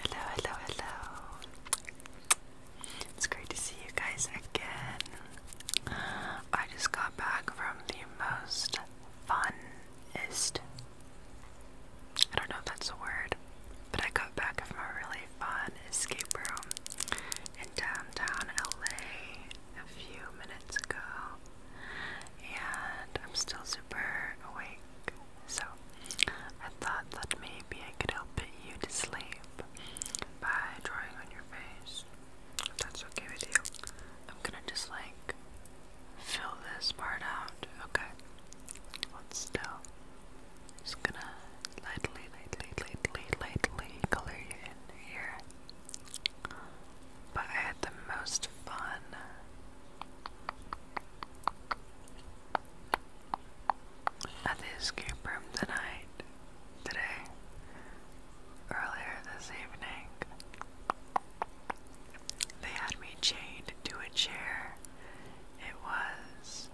Hello, hello, hello. It's great to see you guys again. I just got back from the most funest. I don't know if that's a word, but I got back from a really fun escape room in downtown LA a few minutes ago and I'm still super awake. So I thought that maybe I could help put you to sleep by drawing on your face. If that's okay with you, I'm gonna just like fill this part out. Okay, hold still. Just gonna lightly, lightly, lightly, lightly color you in here. But I had the most fun at the escape room tonight, today, earlier this evening, they had me chained to a chair. It was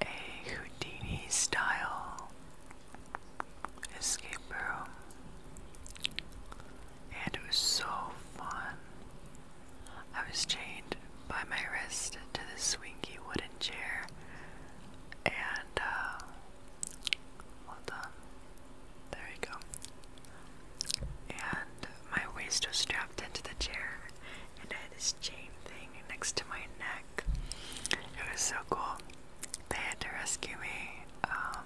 a Houdini style escape room, and it was so fun. I was chained by my wrist to the swingy wooden chair, and uh, well done. There you go. And my waist was strapped into the chair, and I had this chain thing next to my neck. It was so cool. They had to rescue me. Um,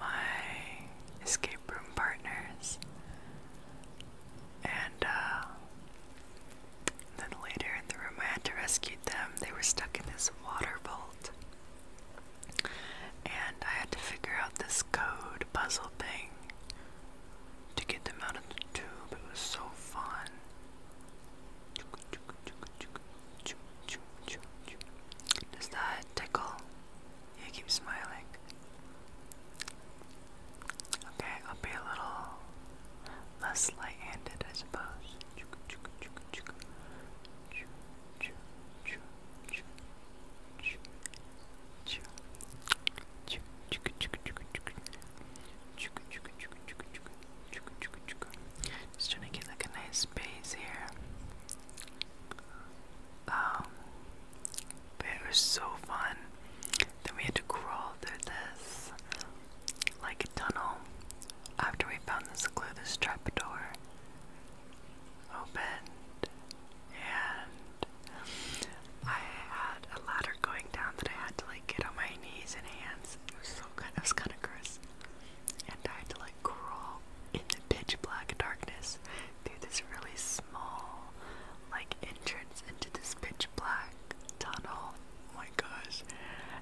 my escape room partners, and uh, then later in the room, I had to rescue them. They were stuck in this water vault, and I had to figure out this code puzzle thing to get them out of the tube. It was so fun. Does that tickle? You keep smiling. Okay, I'll be a little less light-handed, I suppose. Just trying to get like a nice space here. Um, but it was so fun. Then we had to crawl through this like a tunnel after we found this clue, this trapdoor opened, and I had a ladder going down that I had to like get on my knees and hands. It was so good. It was kind of gross, and I had to like crawl in the pitch black darkness through this really small like entrance into this pitch black tunnel. Oh my gosh.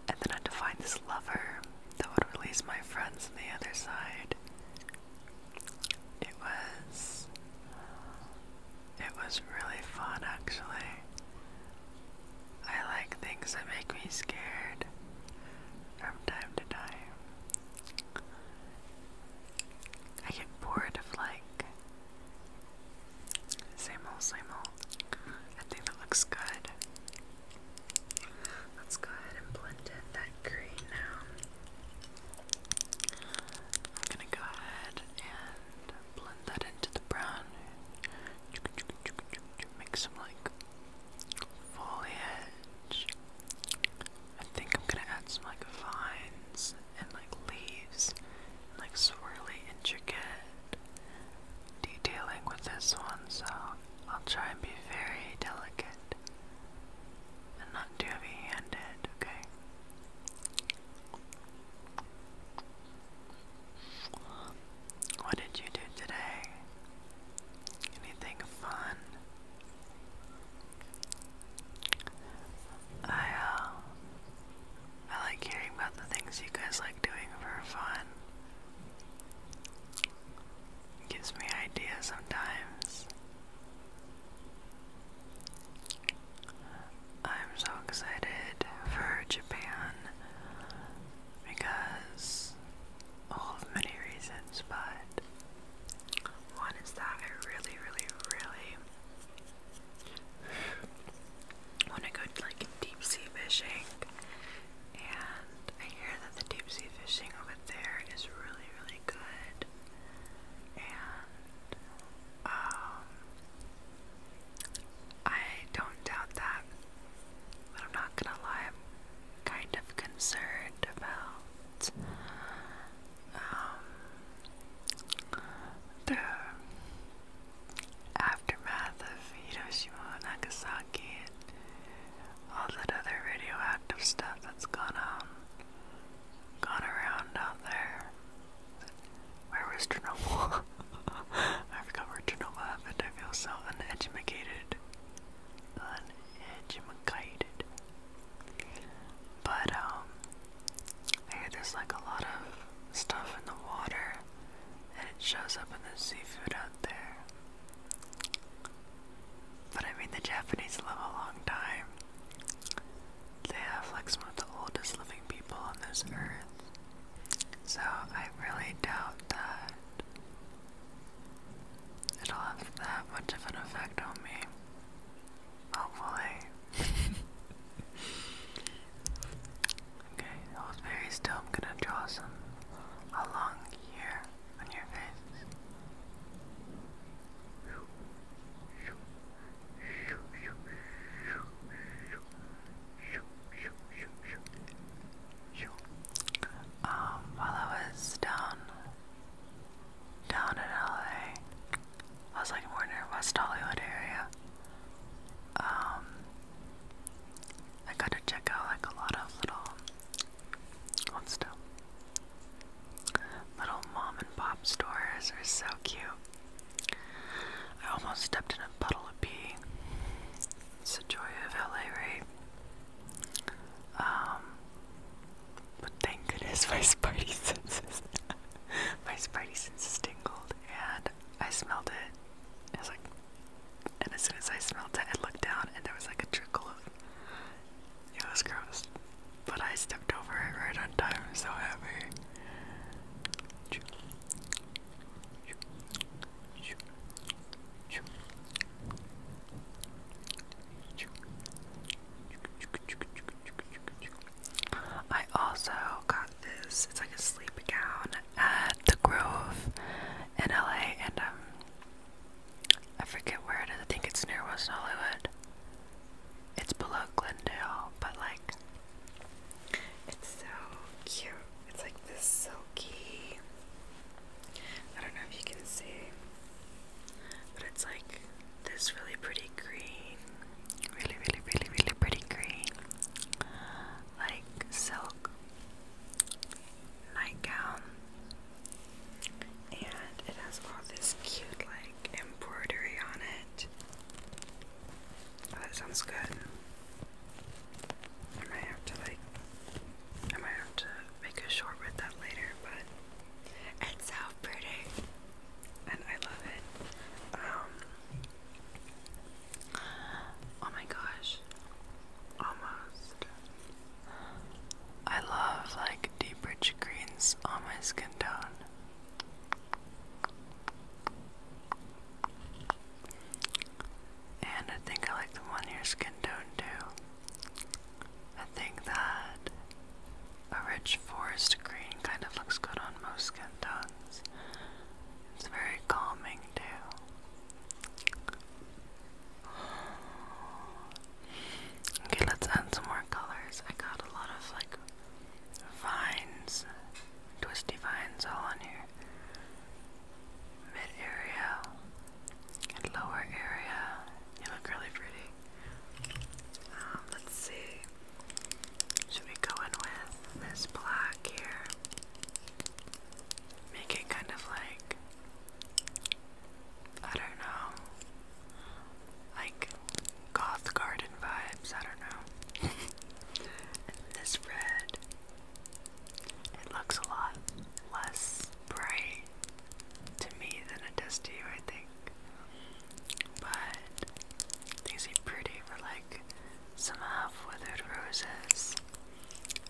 And then I would to find this lover that would release my friends on the other side. It was it was really fun actually. I like things that make me scared from time to time. I get bored of like same old, same old. I think that looks good. Let's go ahead and blend in that green now. I'm gonna go ahead and blend that into the brown. Make some like foliage. I think I'm gonna add some like vines and like leaves and like swirly intricate detailing with this one, so I'll try and be very delicate and not too heavy handed, okay? What did you do today? Anything fun? I uh I like hearing about the things you guys like doing for fun. gives me ideas sometimes. I'm so excited for Japan because all of many reasons, but one is that I really, really, really want to go like deep sea fishing, and I hear that the deep sea fishing over there is really, really good, and um, I don't doubt that. But I'm not gonna lie, I'm kind of concerned about um, the aftermath of Hiroshima and Nagasaki and all that other radioactive stuff that's gone on, gone around out there. Where was Chernobyl? I forgot where Chernobyl happened. I feel so uneducated uneducated. But um, I hear there's like a lot of stuff in the water, and it shows up in the seafood out there. But I mean, the Japanese live a long time. They have like some of the oldest living people on this earth. So I really doubt that it'll have that much of an effect on me. Hopefully. okay, hold very still. I'm gonna draw some along here on your face. Um, while I was down, down in LA, I was like more near West Hollywood area. Um, I got to check out like a lot of little, little mom and pop stores are so cute. I almost stepped in a puddle of pee. It's the joy of LA, right? Um, but thank goodness my spidey senses, my spidey senses tingled, and I smelled it. I was like, and as soon as I smelled it, I looked down, and there was like a trickle of. It was gross, but I stepped over it right on time. so happy. I also got this, it's like a sleep gown at the Grove in LA, and um, I forget where it is, I think it's near West Hollywood. It's below Glendale, but like, it's so cute. It's like this silky I don't know if you can see, but it's like this really pretty green, really, really, really, really pretty green, like silk nightgown, and it has all this cute, like, embroidery on it. Oh, that sounds good. I might have to like I might have to make a short with that later, but it's so pretty. And I love it. Um, oh my gosh. Almost. I love like deep rich greens on my skin tone. And I think I like the one year skin tone too. I think that a rich forest green kind of looks good on most skin tones. It's very calming too. Okay, let's add some more colors. I got a lot of like vines, twisty vines all on here mid area and lower area. You look really pretty. Um, let's see. Should we go in with this black here? Make it kind of like I don't know. Like goth garden vibes, I don't know. this red it looks a lot less bright to me than it does to you, I think. But these are pretty for like some half withered roses.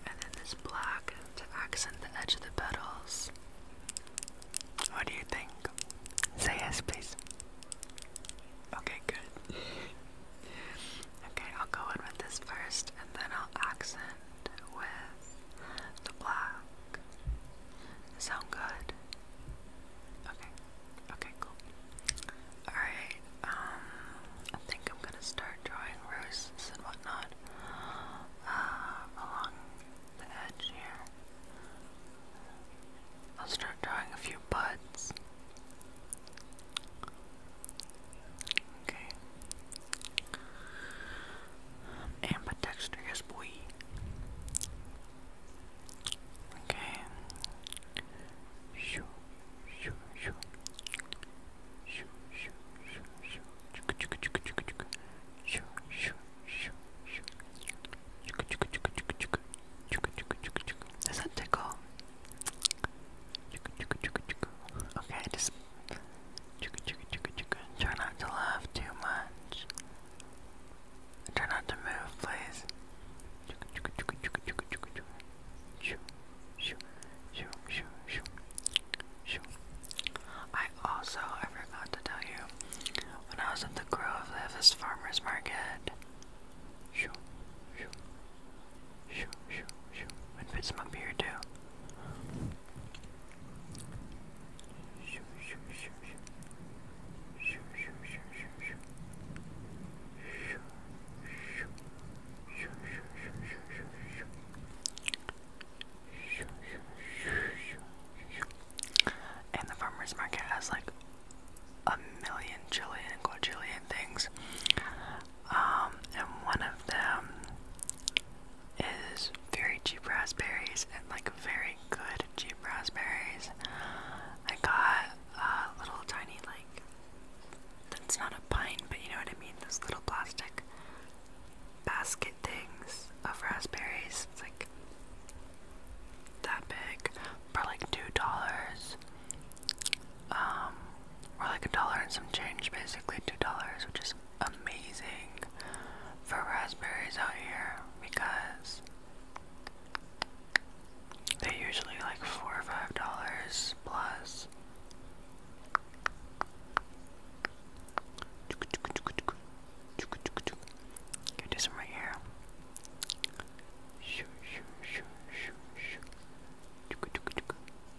And then this black to accent the edge of the petals. What do you think? Say yes, please. Okay, good. Okay, I'll go in with this first and then I'll accent with the black. Sound good? Okay, okay, cool. Alright, um, I think I'm gonna start drawing roses and whatnot uh, along the edge here. I'll start drawing a few buds. Okay. Um, ambidextrous, yes, boy. Okay. Shoo, shoo, shoo. Shoo, shoo, shoo, shoo. Chicka, chicka, chicka, chicka, chicka. Shoo, shoo, shoo, shoo. Does that tickle? Chicka, chicka, chicka, chicka. Okay, I Try not to laugh too much. Try not to move, please. I also, I forgot to tell you, when I was at the Grove, they have this farmer's market. Shoo, shoo, it fits him up too. And the farmer's market has like a million, trillion, quadrillion things. Um, and one of them is very cheap raspberries and like very good cheap raspberries. I got a little tiny like that's not a pint, but you know what I mean. Those little plastic basket things of raspberries. It's like that big for like two dollars um, we're like a dollar and some change, basically two dollars, which is amazing for raspberries out here because they're usually like four or five dollars plus. Get this right here. Shoo, shoo, shoo, shoo, shoo.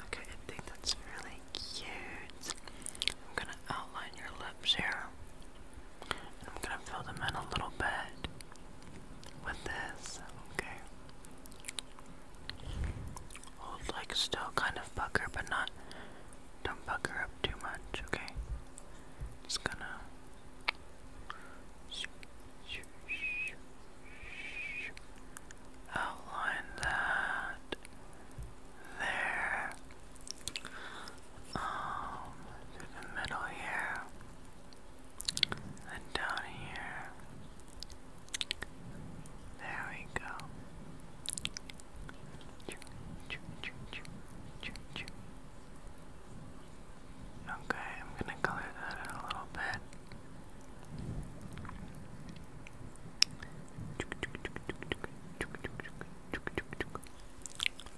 Okay, I think that's really cute. I'm gonna outline your lips here. I'm gonna fill them in a little bit with this, okay? Hold like still kind of pucker, but not don't pucker up too much, okay? Just gonna outline that there um through the middle here and down here there we go Okay, I'm gonna color that in a little bit.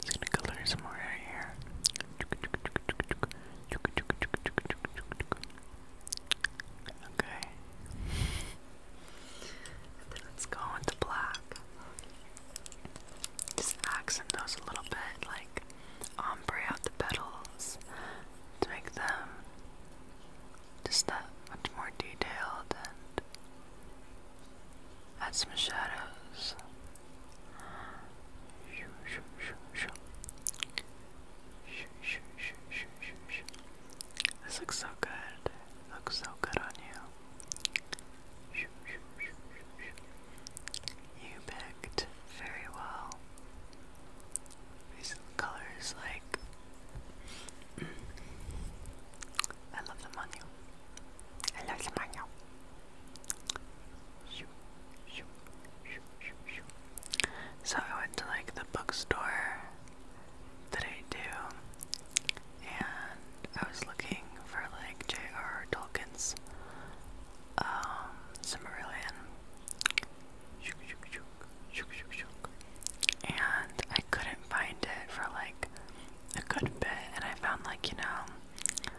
I'm gonna color some more out here. Okay. let's go into black. Just accent those a little bit, like ombre out the petals to make them just that much more detailed and add some shadows. This looks so good. looks so good on you. You picked very well. These colors, like, I love them on you. I love them on you. So I went to like the bookstore today too, and I was looking for like J.R. Tolkien's um, Silmarillion, and I couldn't find it for like a good bit, and I found like, you know,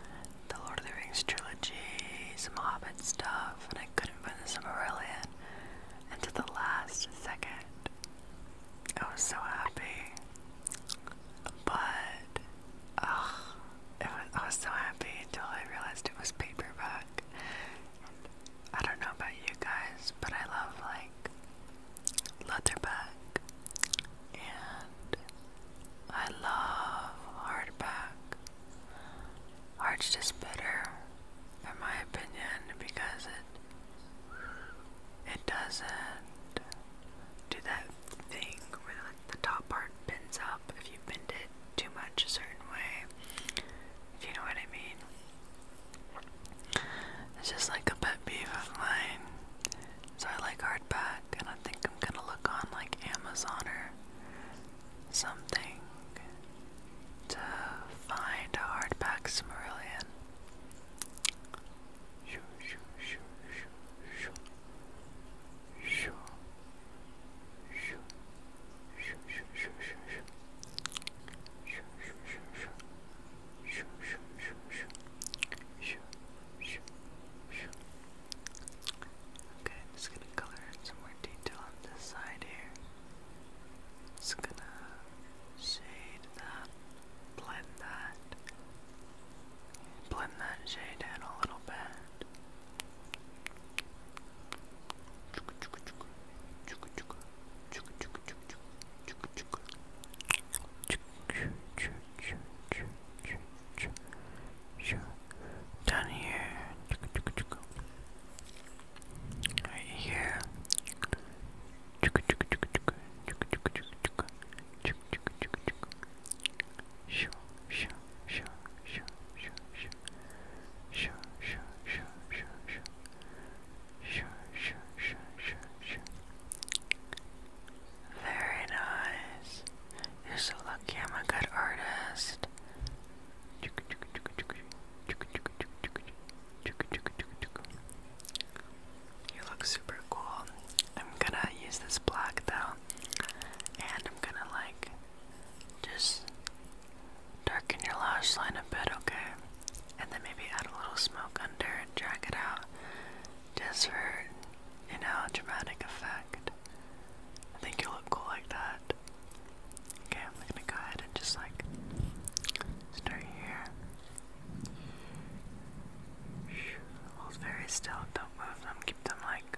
the Lord of the Rings trilogy, some Hobbit stuff, and I couldn't find the And until the last second. I was so happy. But, ugh, it was, I was so happy until I realized it was paperback. And I don't know about you guys, but I love like leatherback and I love hardback. Hard's just better, in my opinion, because it it doesn't do that thing really the top part bends up if you bend it too much a certain way. If you know what I mean. It's just like a pet peeve of mine. So I like hardback and I think I'm gonna look on like Amazon or something to find a hardback Smerillion. Shoo, shoo, shoo, shoo, shoo. Shoo. Shoo. Shoo, shoo, shoo, shoo, shoo. Shoo, shoo, shoo, shoo. Shoo, shoo, shoo, shoo. Shoo, shoo, shoo. Okay, I'm just gonna color in some more detail on this side here. Just gonna shade that, blend that, blend that shade in a little bit. Down here, right here. Sure, sure, sure, sure, sure, sure. Sure, sure, sure, sure, sure. Sure, sure, sure, sure, sure. Very nice. You're so lucky I'm a good artist. You look super cool. I'm gonna use this black though, and I'm gonna like just darken your lash line a bit, okay? And then maybe add a little smoke under and drag it out just for, you know, dramatic effect. I think you look cool like that. Okay, I'm gonna go ahead and just like start here. Hold very still, don't move them, keep them like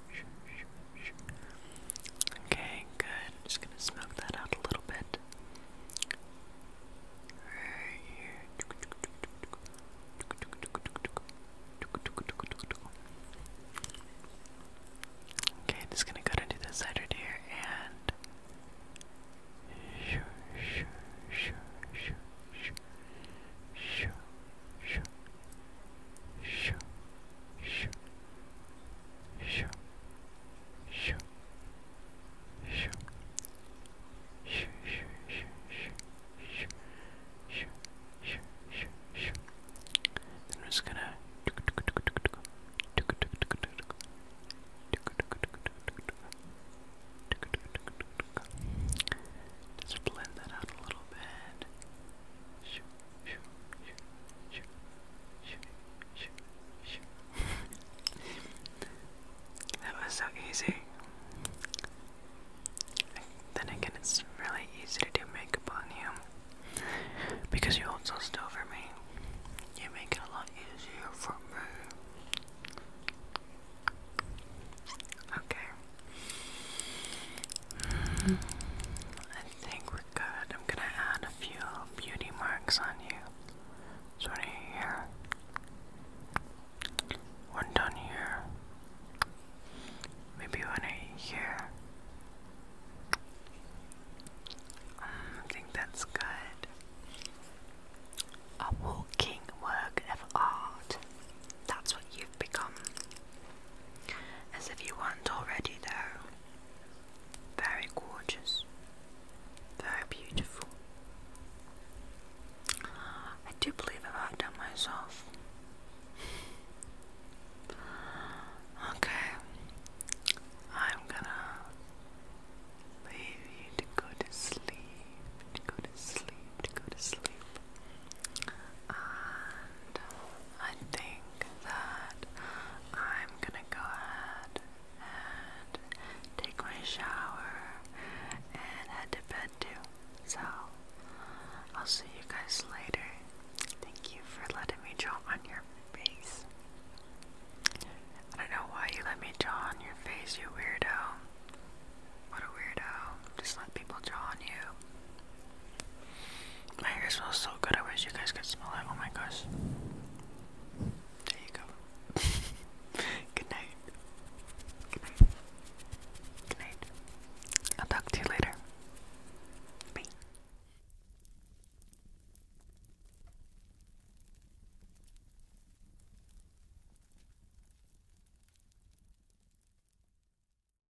Okay, good. I'm just gonna smoke that out a little bit. Right here. Okay, just gonna go to do this here and shoo shoo shoo shoo shoo shoo Shoo. Shoo. Shoo. Shoo. Shoo. Shoo. Shoo. Shoo. Shoo. Shoo. Shoo. Shoo. Then we're just gonna just blend that out a little bit. Shoo, that was so easy. Then again, it's really easy to do makeup on you because you hold so still for me. You make it a lot easier for me. Okay. I think we're good. I'm gonna add a few beauty marks on you. So here, one down here, maybe one here. Mm, I think that's good. A walking work of art. That's what you've become. As if you weren't already, though. Very gorgeous. Very beautiful. I do believe I've outdone myself. Okay. I'm gonna leave you to go to sleep, to go to sleep, to go to sleep. I think that I'm gonna go and take my shower and head to bed too. So I'll see you guys later. Thank you for letting me draw on your face. I don't know why you let me draw on your face, you weirdo. What a weirdo. Just let people draw on you. My hair smells so good. I wish you guys could smell it. Oh my gosh. There you go. Good night. Good night. I'll talk to you later. Bye.